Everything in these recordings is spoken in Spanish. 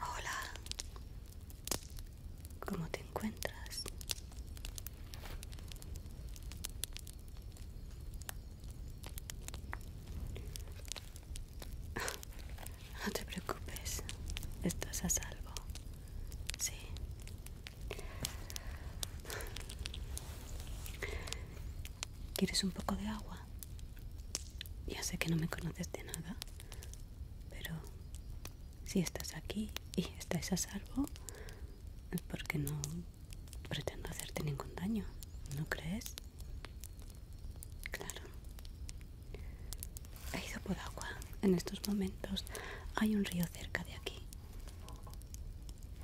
Hola, ¿cómo te encuentras? No te preocupes, estás a salvo. Sí. ¿Quieres un poco de agua? Ya sé que no me conoces de nada, pero si estás aquí y estás a salvo, es porque no pretendo hacerte ningún daño, ¿no crees? Claro, He ido por agua en estos momentos. Hay un río cerca de aquí.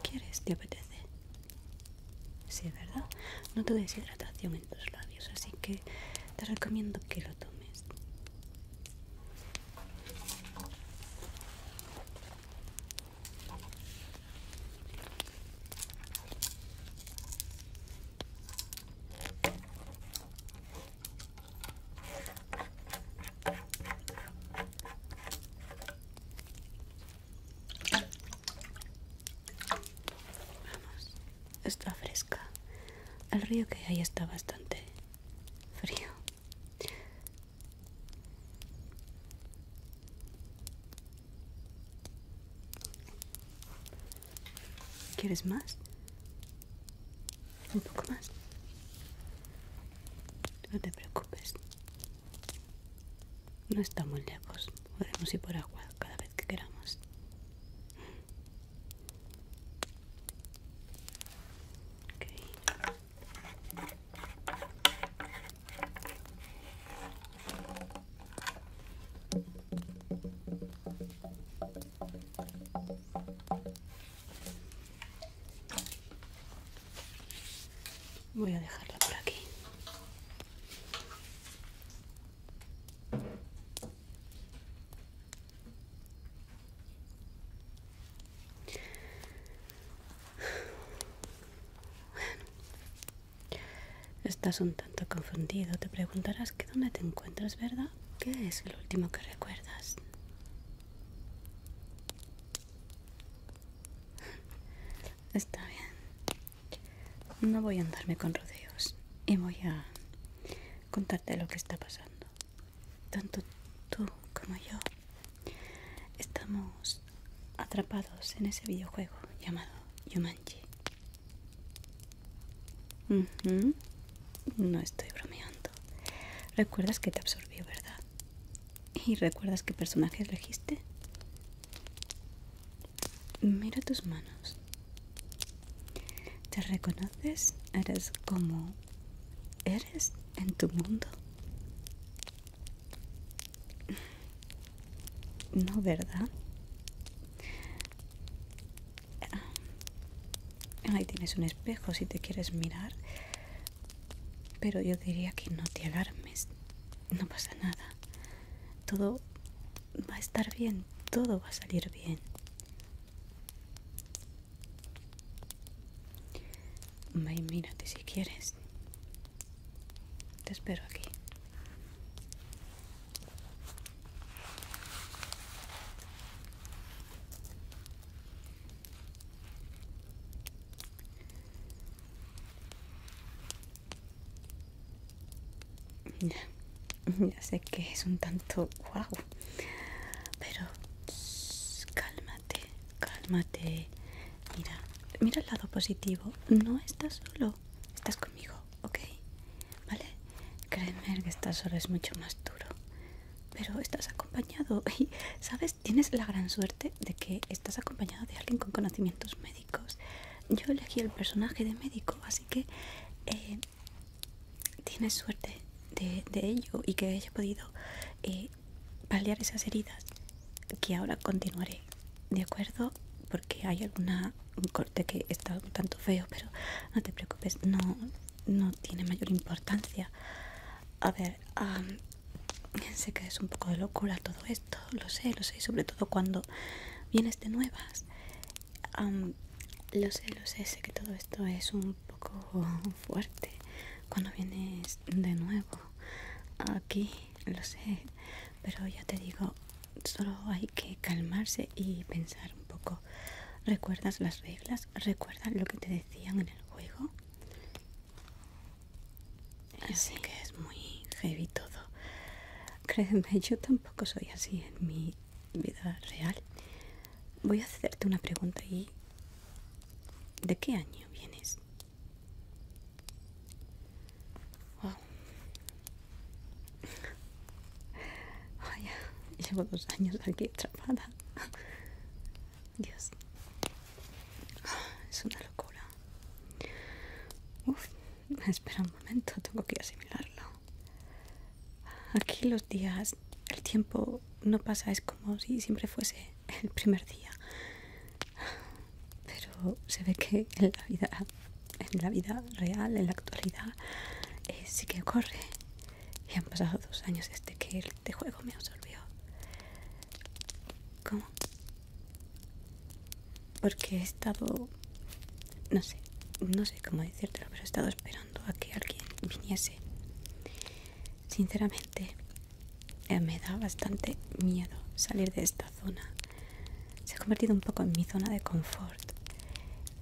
¿Quieres? ¿Te apetece? Sí, ¿verdad? No te deshidratación en tus labios, así que te recomiendo que lo tomes. Vamos, está fresca. El río que hay está bastante frío. ¿Quieres más? Un poco más. No te preocupes. No estamos lejos. Podemos ir por agua cada vez que queramos. Voy a dejarla por aquí. Estás un tanto confundido, te preguntarás que dónde te encuentras, ¿verdad? ¿Qué es lo último que recuerdas? Está bien. No voy a andarme con rodeos y voy a contarte lo que está pasando. Tanto tú como yo estamos atrapados en ese videojuego llamado Yumanji. No estoy bromeando. Recuerdas que te absorbió, ¿verdad? ¿Y recuerdas qué personaje elegiste? Mira tus manos. ¿Te reconoces? Eres como eres en tu mundo. No, ¿verdad? Ahí tienes un espejo si te quieres mirar. Pero yo diría que no te alarmes. No pasa nada. Todo va a estar bien. Todo va a salir bien. Ve mírate si quieres. Te espero aquí. Ya, ya sé que es un tanto guau, pero cálmate, cálmate. Mira, mira el lado positivo. No estás solo, estás conmigo. ¿ok? ¿Vale? Créeme que estar solo es mucho más duro, pero estás acompañado y, ¿sabes? Tienes la gran suerte de que estás acompañado de alguien con conocimientos médicos. Yo elegí el personaje de médico, así que eh, tienes suerte de, ello y que haya podido eh, paliar esas heridas que ahora continuaré, ¿de acuerdo? Porque hay alguna un corte que está un tanto feo, pero no te preocupes, no, no tiene mayor importancia. A ver, sé que es un poco de locura todo esto, lo sé, lo sé, sobre todo cuando vienes de este nuevas. lo sé, lo sé, sé que todo esto es un poco fuerte cuando vienes de nuevo aquí, lo sé, pero ya te digo, solo hay que calmarse y pensar un poco. ¿Recuerdas las reglas? ¿Recuerdas lo que te decían en el juego? Así que es muy heavy todo. Créeme, yo tampoco soy así en mi vida real. Voy a hacerte una pregunta y... ¿De qué año vienes? Vaya, llevo dos años aquí atrapada. Dios. Es una locura. Uf, espera un momento, tengo que asimilarlo. Aquí los días, el tiempo no pasa, es como si siempre fuese el primer día. Pero se ve que en la vida en la vida real, en la actualidad, eh, sí que ocurre. Y han pasado dos años desde que de este juego me absorbió. ¿Cómo? Porque he estado, no sé, no sé cómo decírtelo, pero he estado esperando a que alguien viniese. Sinceramente, eh, me da bastante miedo salir de esta zona se ha convertido un poco en mi zona de confort.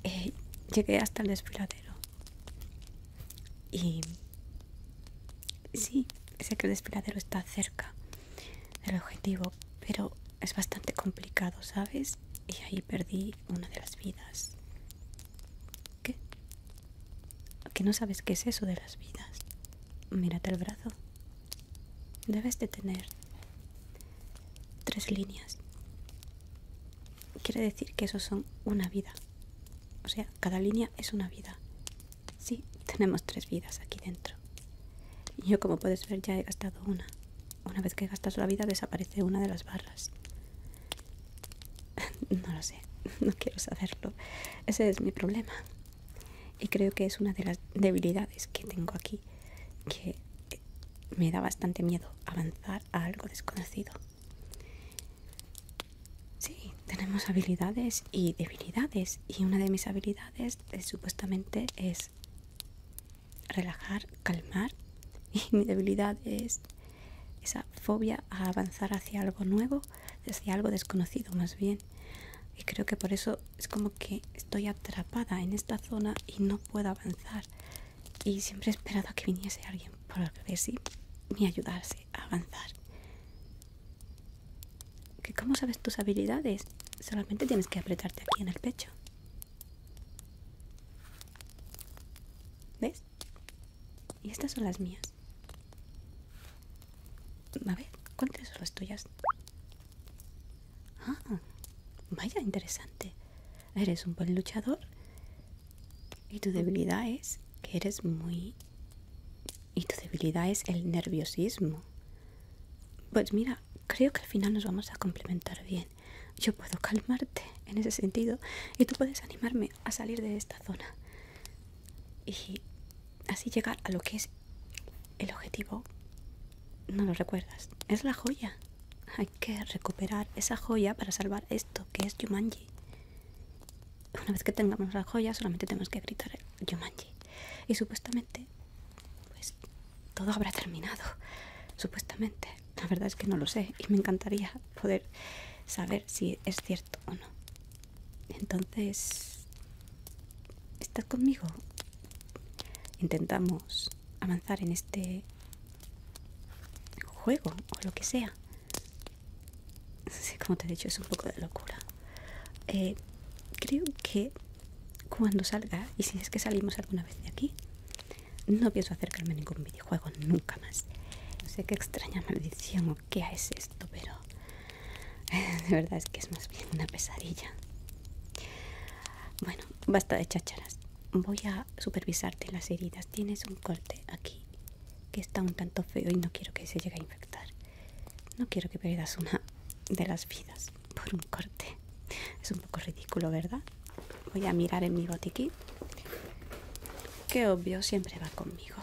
Eh, llegué hasta el desfiladero. Y sí, sé que el desfiladero está cerca del objetivo, pero es bastante complicado, ¿sabes? Y ahí perdí una de las vidas. ¿Qué? ¿Que no sabes qué es eso de las vidas? Mírate el brazo. Debes de tener tres líneas quiere decir que esos son una vida. O sea, cada línea es una vida. Sí, tenemos tres vidas aquí dentro. yo, como puedes ver, ya he gastado una. Una vez que gastas la vida, desaparece una de las barras. No lo sé, no quiero saberlo. Ese es mi problema. Y creo que es una de las debilidades que tengo aquí. Que me da bastante miedo avanzar a algo desconocido. Sí, tenemos habilidades y debilidades y una de mis habilidades eh, supuestamente es relajar, calmar y mi debilidad es esa fobia a avanzar hacia algo nuevo, hacia algo desconocido más bien. Y creo que por eso es como que estoy atrapada en esta zona y no puedo avanzar y siempre he esperado a que viniese alguien por ver si me ayudase a avanzar. ¿Que ¿Cómo sabes tus habilidades? Solamente tienes que apretarte aquí en el pecho. ¿Ves? Y estas son las mías. A ver, ¿cuántas son las tuyas? Ah, vaya, interesante eres un buen luchador y tu debilidad es que eres muy... y tu debilidad es el nerviosismo. Pues mira, creo que al final nos vamos a complementar bien. Yo puedo calmarte en ese sentido y tú puedes animarme a salir de esta zona y así llegar a lo que es el objetivo. No lo recuerdas, es la joya. Hay que recuperar esa joya para salvar esto, que es Yumanji. Una vez que tengamos la joya, solamente tenemos que gritar Yumanji. Y supuestamente, pues todo habrá terminado. Supuestamente. La verdad es que no lo sé y me encantaría poder saber si es cierto o no. Entonces, ¿estás conmigo? intentamos avanzar en este juego o lo que sea. Sé como te he dicho, es un poco de locura. Eh, creo que cuando salga, y si es que salimos alguna vez de aquí, no pienso acercarme a ningún videojuego nunca más. No sé qué extraña maldición o qué es esto, pero de verdad es que es más bien una pesadilla. Bueno, basta de chácharas voy a supervisarte las heridas. Tienes un corte aquí que está un tanto feo y no quiero que se llegue a infectar. No quiero que pierdas una de las vidas por un corte. Es un poco ridículo, ¿verdad? Voy a mirar en mi botiquín. Qué obvio, siempre va conmigo.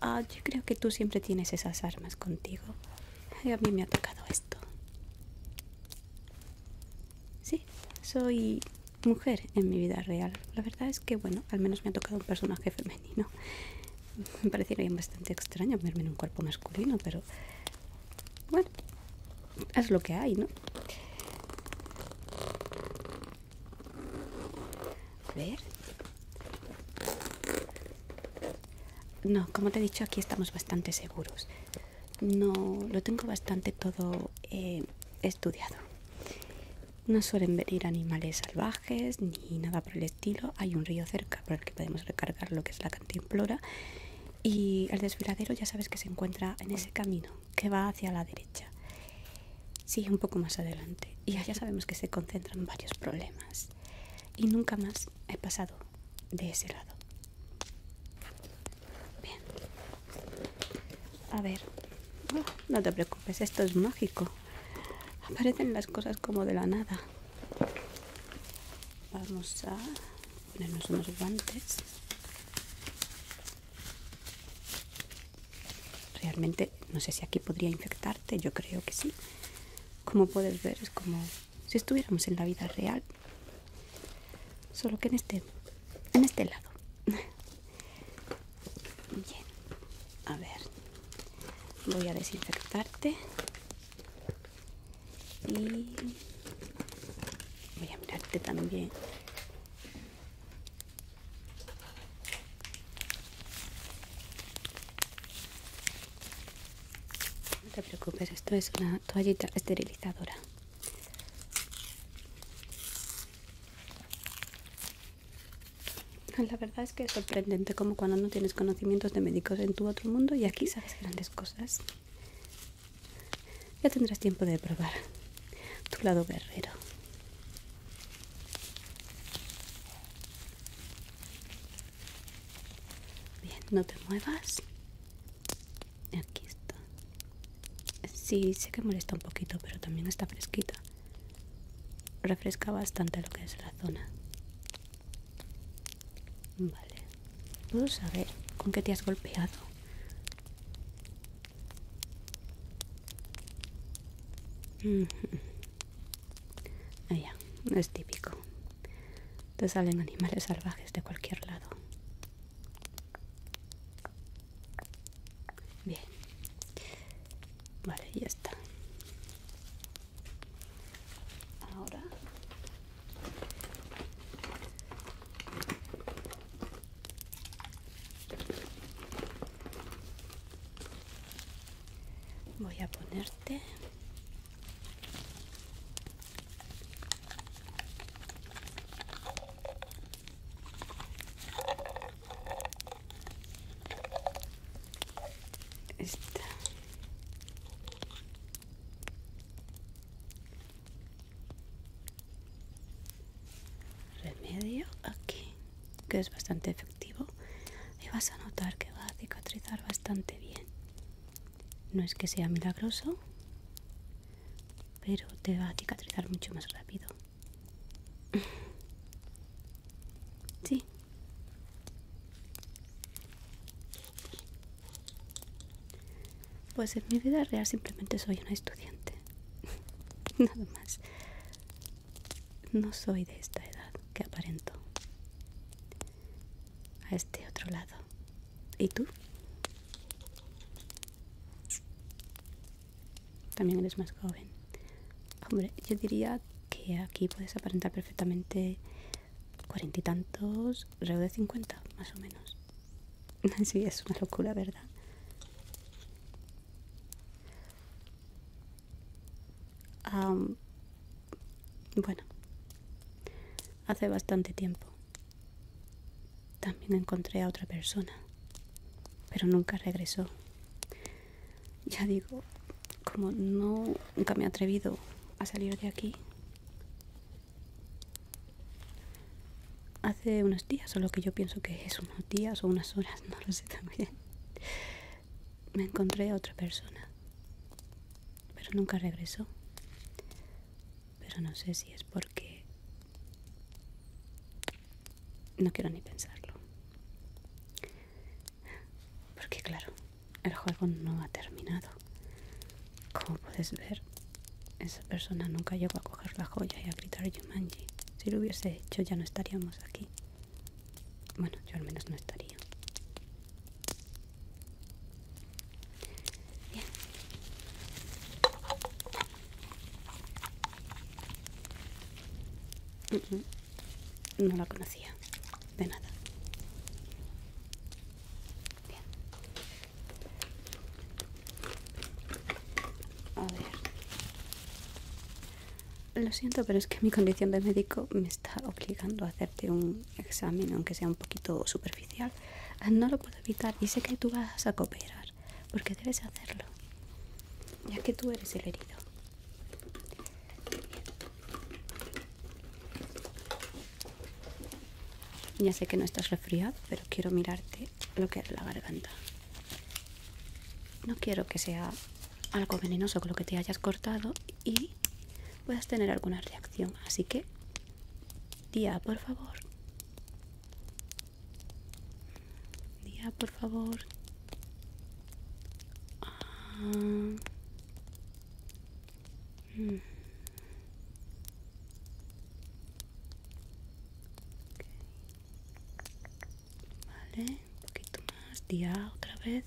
Ah, yo creo que tú siempre tienes esas armas contigo. a mí me ha tocado esto. Sí, soy mujer en mi vida real. La verdad es que, bueno, al menos me ha tocado un personaje femenino. Me bien bastante extraño verme en un cuerpo masculino, pero bueno, es lo que hay, ¿no? A ver. No, como te he dicho, aquí estamos bastante seguros no lo tengo bastante todo eh, estudiado no suelen venir animales salvajes ni nada por el estilo hay un río cerca por el que podemos recargar lo que es la cantimplora y el desfiladero ya sabes que se encuentra en ese camino que va hacia la derecha sigue un poco más adelante y allá sabemos que se concentran varios problemas y nunca más he pasado de ese lado Bien. A ver. Ah, no te preocupes, esto es mágico. Aparecen las cosas como de la nada. Vamos a ponernos unos guantes. Realmente no sé si aquí podría infectarte, yo creo que sí. Como puedes ver, es como si estuviéramos en la vida real solo que en este en este lado bien a ver voy a desinfectarte y voy a mirarte también no te preocupes, esto es una toallita esterilizadora. La verdad es que es sorprendente como cuando no tienes conocimientos de médicos en tu otro mundo y aquí sabes grandes cosas. Ya tendrás tiempo de probar tu lado guerrero. Bien, no te muevas. Aquí está. Sí, sé que molesta un poquito, pero también está fresquita. Refresca bastante lo que es la zona. Vale. ¿Puedo saber con qué te has golpeado? Ah, es típico. Te salen animales salvajes de cualquier lado. Bien. Vale, ya está. Ahora voy a ponerte remedio aquí que es bastante efectivo y vas a notar que va a cicatrizar bastante bien no es que sea milagroso, pero te va a cicatrizar mucho más rápido. sí. Pues en mi vida real simplemente soy una estudiante. Nada más. No soy de esta edad que aparento a este otro lado. ¿Y tú? También eres más joven. Hombre, yo diría que aquí puedes aparentar perfectamente cuarenta y tantos, alrededor de cincuenta, más o menos. Sí, es una locura, ¿verdad? Bueno, hace bastante tiempo también encontré a otra persona, pero nunca regresó. Ya digo, como no, nunca me he atrevido a salir de aquí. Hace unos días, o lo que yo pienso que es unos días o unas horas, no lo sé también, me encontré a otra persona pero nunca regresó. Pero no sé si es porque... No quiero ni pensarlo. Porque claro, el juego no ha terminado. Como puedes ver, esa persona nunca llegó a coger la joya y a gritar Yumanji. Si lo hubiese hecho ya no estaríamos aquí. Bueno, yo al menos no estaría. Mm, mm. No la conocía, de nada. Bien. A ver. Lo siento, pero es que mi condición de médico me está obligando a hacerte un examen, aunque sea un poquito superficial, ah, no lo puedo evitar y sé que tú vas a cooperar, porque debes hacerlo, ya que tú eres el herido. Ya sé que no estás resfriado, pero quiero mirarte lo que es la garganta. No quiero que sea algo venenoso con lo que te hayas cortado y puedas tener alguna reacción. Así que, día, por favor. Día, por favor. Ah, mm. Vale, un poquito más, día otra vez.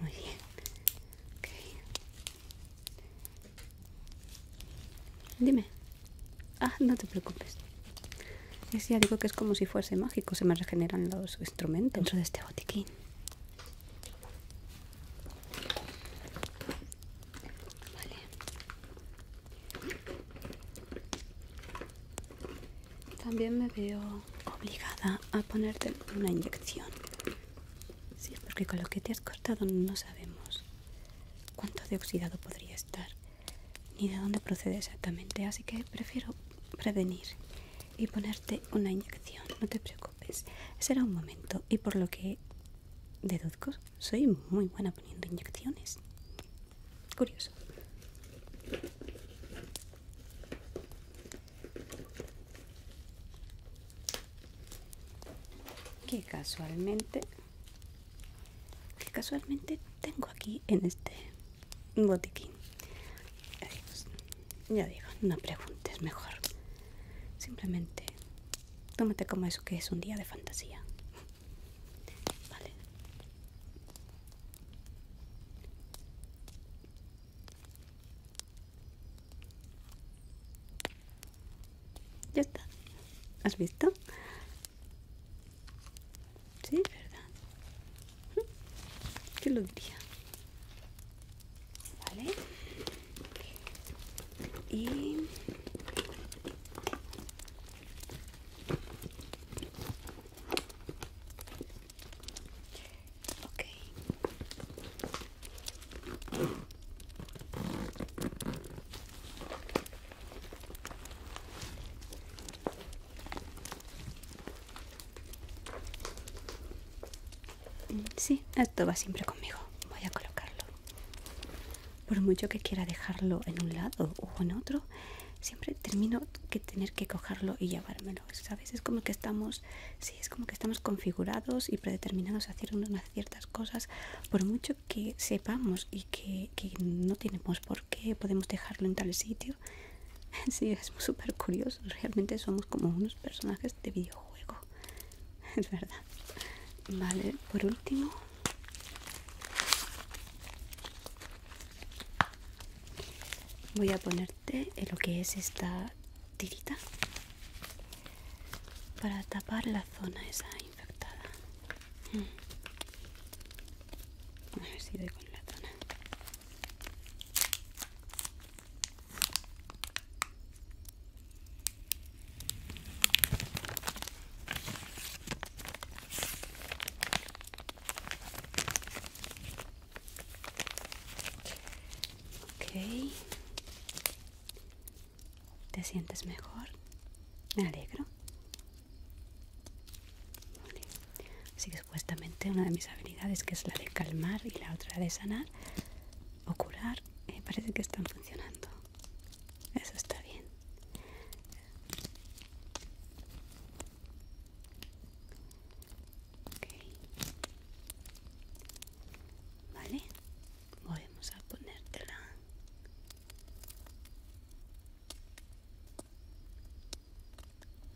Muy bien. Dime. Ah, no te preocupes. Es ya digo que es como si fuese mágico, se me regeneran los instrumentos dentro de este botiquín. Vale. También me veo obligada a ponerte una inyección. Sí, porque con lo que te has cortado no sabemos cuánto de oxidado podría estar, ni de dónde procede exactamente. Así que prefiero prevenir y ponerte una inyección. No te preocupes, será un momento. Y por lo que deduzco, soy muy buena poniendo inyecciones. Curioso que casualmente que casualmente tengo aquí en este botiquín pues, ya digo no preguntes mejor simplemente tómate como eso que es un día de fantasía vale ya está. ¿Has visto? Sí, ¿verdad? ¿Qué lo diría? Vale. Y... Ok. Sí, esto va siempre conmigo. Voy a colocarlo. Por mucho que quiera dejarlo en un lado o en otro, siempre termino que tener que cogerlo y llevármelo. ¿sabes? Es como que estamos, sí, es como que estamos configurados y predeterminados a hacer unas ciertas cosas, por mucho que sepamos y que, no tenemos por qué, podemos dejarlo en tal sitio. Sí, es súper curioso, realmente somos como unos personajes de videojuego, es verdad. Vale, por último, voy a ponerte en lo que es esta tirita para tapar la zona esa infectada mm. la zona Ok. ¿Te sientes mejor? Me alegro. Así que supuestamente una de mis habilidades, que es la de calmar y la otra de sanar o curar, eh, parece que están funcionando. Eso está bien. Vale, volvemos a ponértela.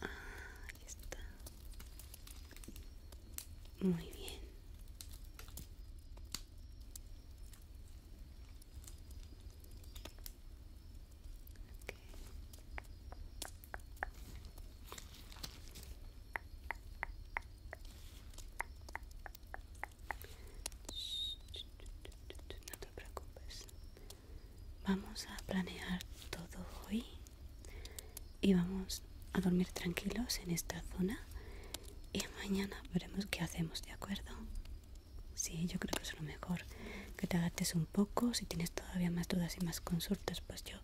Ah, ahí está. Muy bien. No te preocupes. Vamos a planear todo hoy y vamos a dormir tranquilos en esta zona y mañana veremos qué hacemos, ¿de acuerdo? Sí, yo creo que es lo mejor que te adaptes un poco. Si tienes todavía más dudas y más consultas, pues yo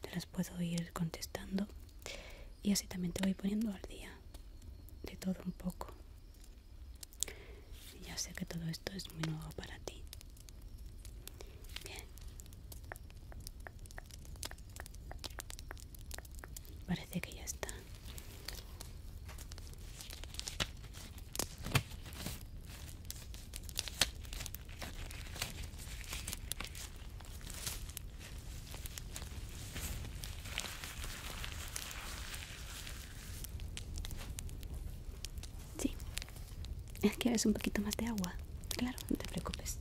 te las puedo ir contestando. Y así también te voy poniendo al día de todo un poco. Ya sé que todo esto es muy nuevo para ti. Bien. Parece que ya está. Sí, es que es un poquito más de agua. Claro, no te preocupes.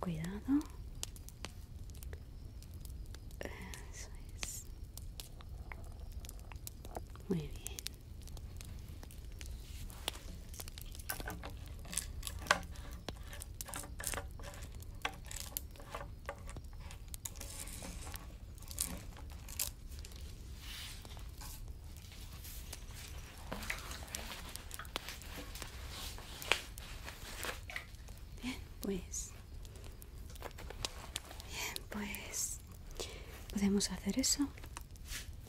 Cuidado. Eso es. Muy bien. Bien, pues Bien, pues podemos hacer eso,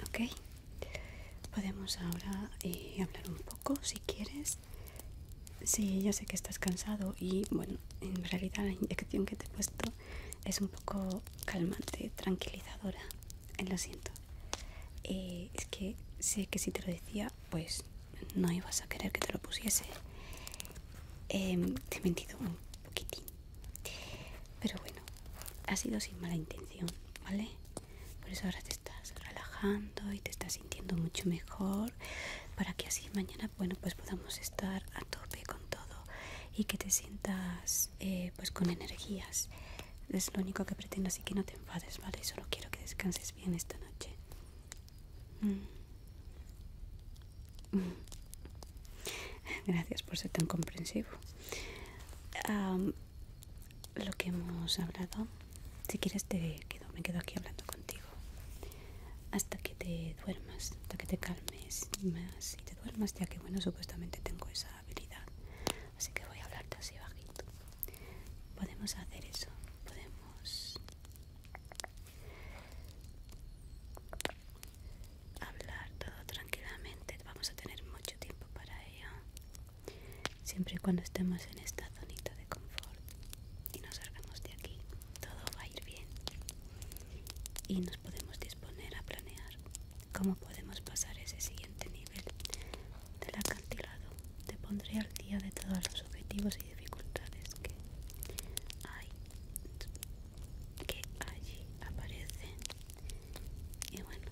¿ok? Podemos ahora eh, hablar un poco si quieres. Sí, ya sé que estás cansado y bueno, en realidad la inyección que te he puesto es un poco calmante, tranquilizadora. Lo siento. Eh, es que sé que si te lo decía, pues no ibas a querer que te lo pusiese. Em, te he mentido un poquitín. Pero bueno, ha sido sin mala intención, ¿vale? Por eso ahora te estás relajando y te estás sintiendo mucho mejor. Para que así mañana, bueno, pues podamos estar a tope con todo y que te sientas eh, pues con energías. Es lo único que pretendo, así que no te enfades, ¿vale? Solo quiero que descanses bien esta noche. Mm. Gracias por ser tan comprensivo. lo que hemos hablado, si quieres te me quedo aquí hablando contigo. Hasta que te duermas, hasta que te calmes y más y te duermas, ya que bueno, supuestamente tengo esa habilidad. Así que voy a hablarte así bajito. Podemos hacer eso, podemos hablar todo tranquilamente vamos a tener mucho tiempo para ello siempre y cuando estemos en esta zonita de confort y nos salgamos de aquí todo va a ir bien y nos podemos disponer a planear cómo podemos pasar ese siguiente nivel del acantilado te pondré al día de todos los objetivos dificultades que hay que allí aparecen y bueno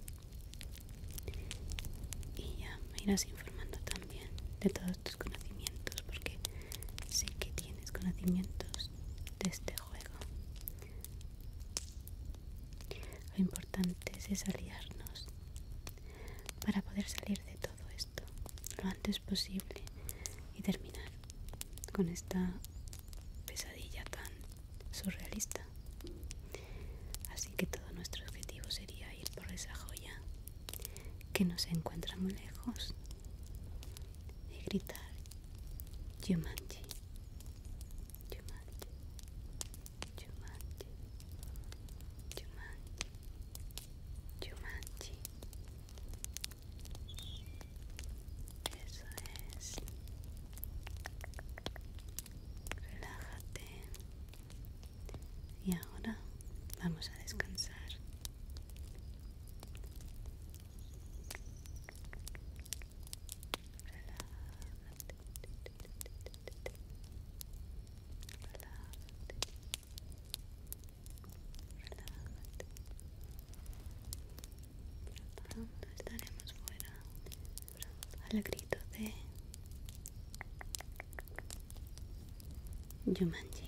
y ya me irás informando también de todos tus conocimientos porque sé que tienes conocimientos de este juego lo importante es aliarnos para poder salir de todo esto lo antes posible y terminar con esta pesadilla tan surrealista. Así que todo nuestro objetivo sería ir por esa joya que no se encuentra muy lejos y gritar yo Yumanji. Eso es. Relájate. Y ahora vamos a descansar. Relájate. Relájate no Pronto estaremos fuera. Al grito de Jumanji.